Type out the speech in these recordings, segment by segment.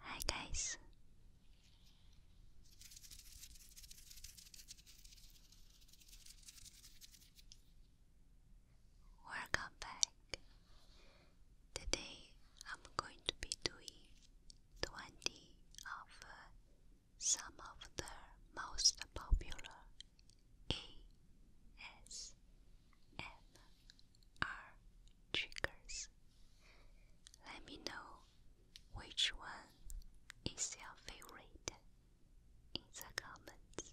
Hi guys. Welcome back. Today I'm going to be doing 20 of uh, some of the most popular ASMR triggers. Let me know which one is your favorite in the comments.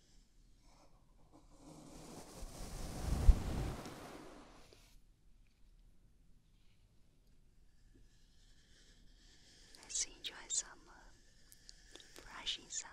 Let's enjoy some uh, brushing sounds.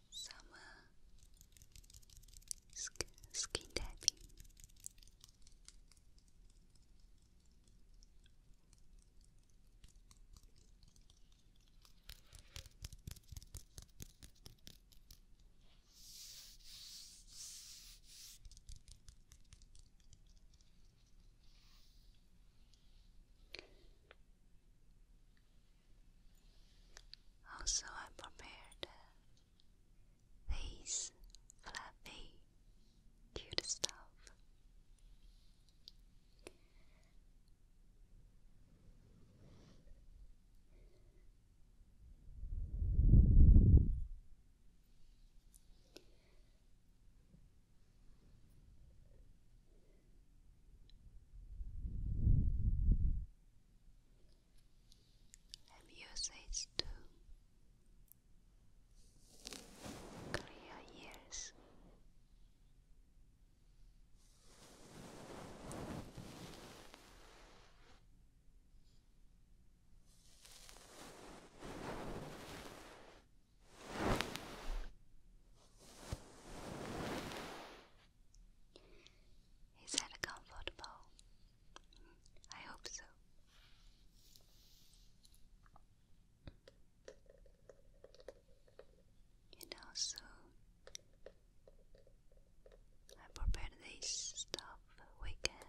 some uh, skin tapping. Also, I prepared these fluffy, cute stuff and usage to clear ears. Is that comfortable? I hope so. And also, I prepared this stuff we can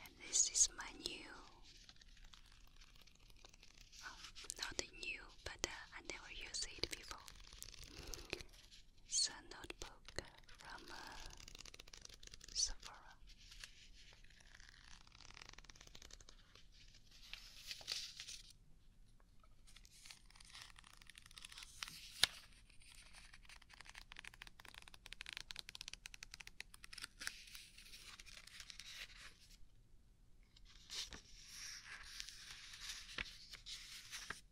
And this is my new, um, not new, but uh, I never used it before is a notebook from uh, Sephora.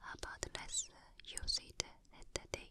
How about let's use it at the day.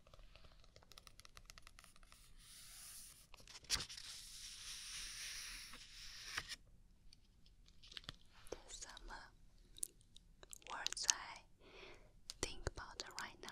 there's some uh, words I think about right now.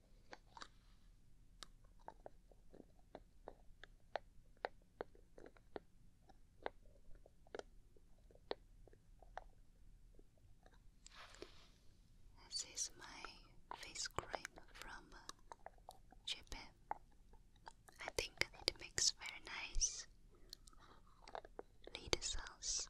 This is my face cream from Japan. I think it makes very nice lid sounds.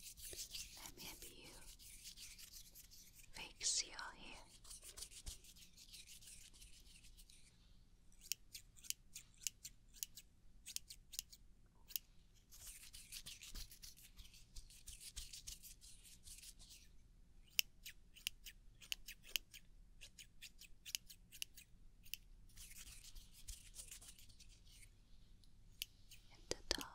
And maybe you fix your hair at the top.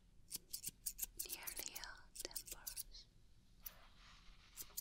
nearly all temples. Okay.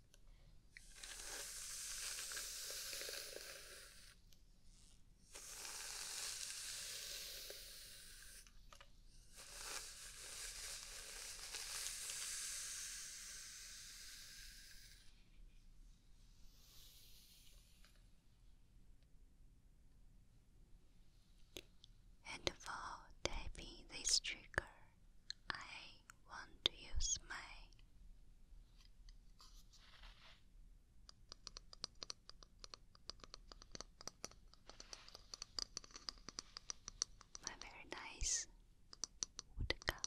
And for tapping this trigger, I want to use my my very nice wood cup.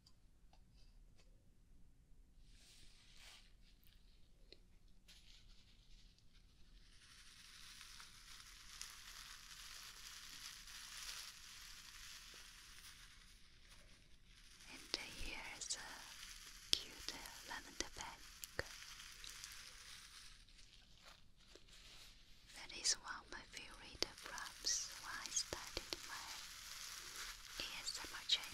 And here's a cute lavender bag. That is one of my favorite prompts when I started my ASMR channel.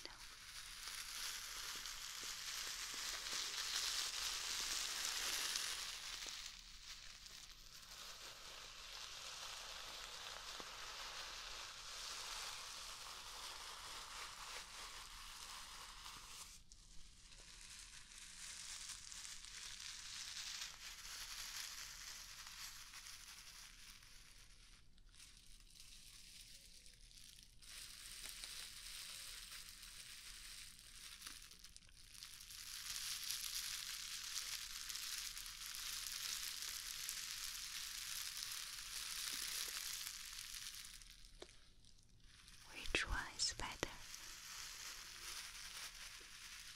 Which one is better?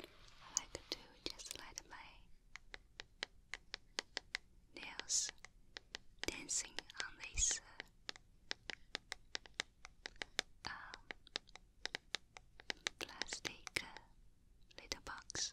I like to just let my nails dancing on this uh, um, plastic uh, little box.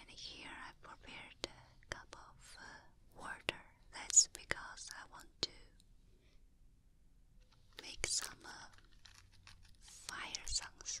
And here I prepared a cup of uh, water. That's because I want to make some uh, fire songs.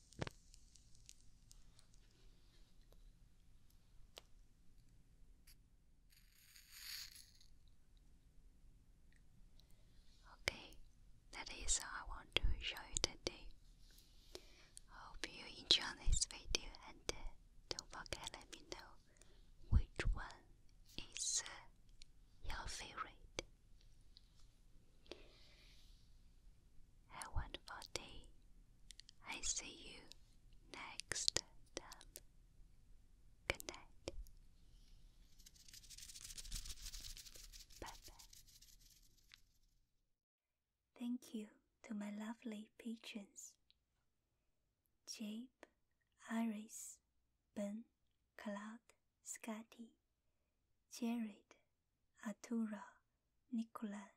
Okay, that is all I want to show you today. Hope you enjoy this video and uh, don't forget let me know which one is uh, your favorite a wonderful day. I see you next time. Good Bye bye. Thank you to my lovely patrons Jape, Iris, Ben, Cloud, Scotty. Jared, Artura, Nicola,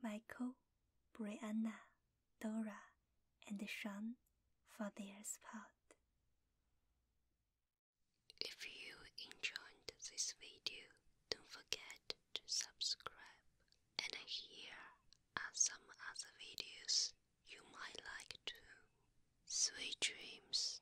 Michael, Brianna, Dora, and Sean for their support. If you enjoyed this video, don't forget to subscribe. And here are some other videos you might like too. Sweet dreams.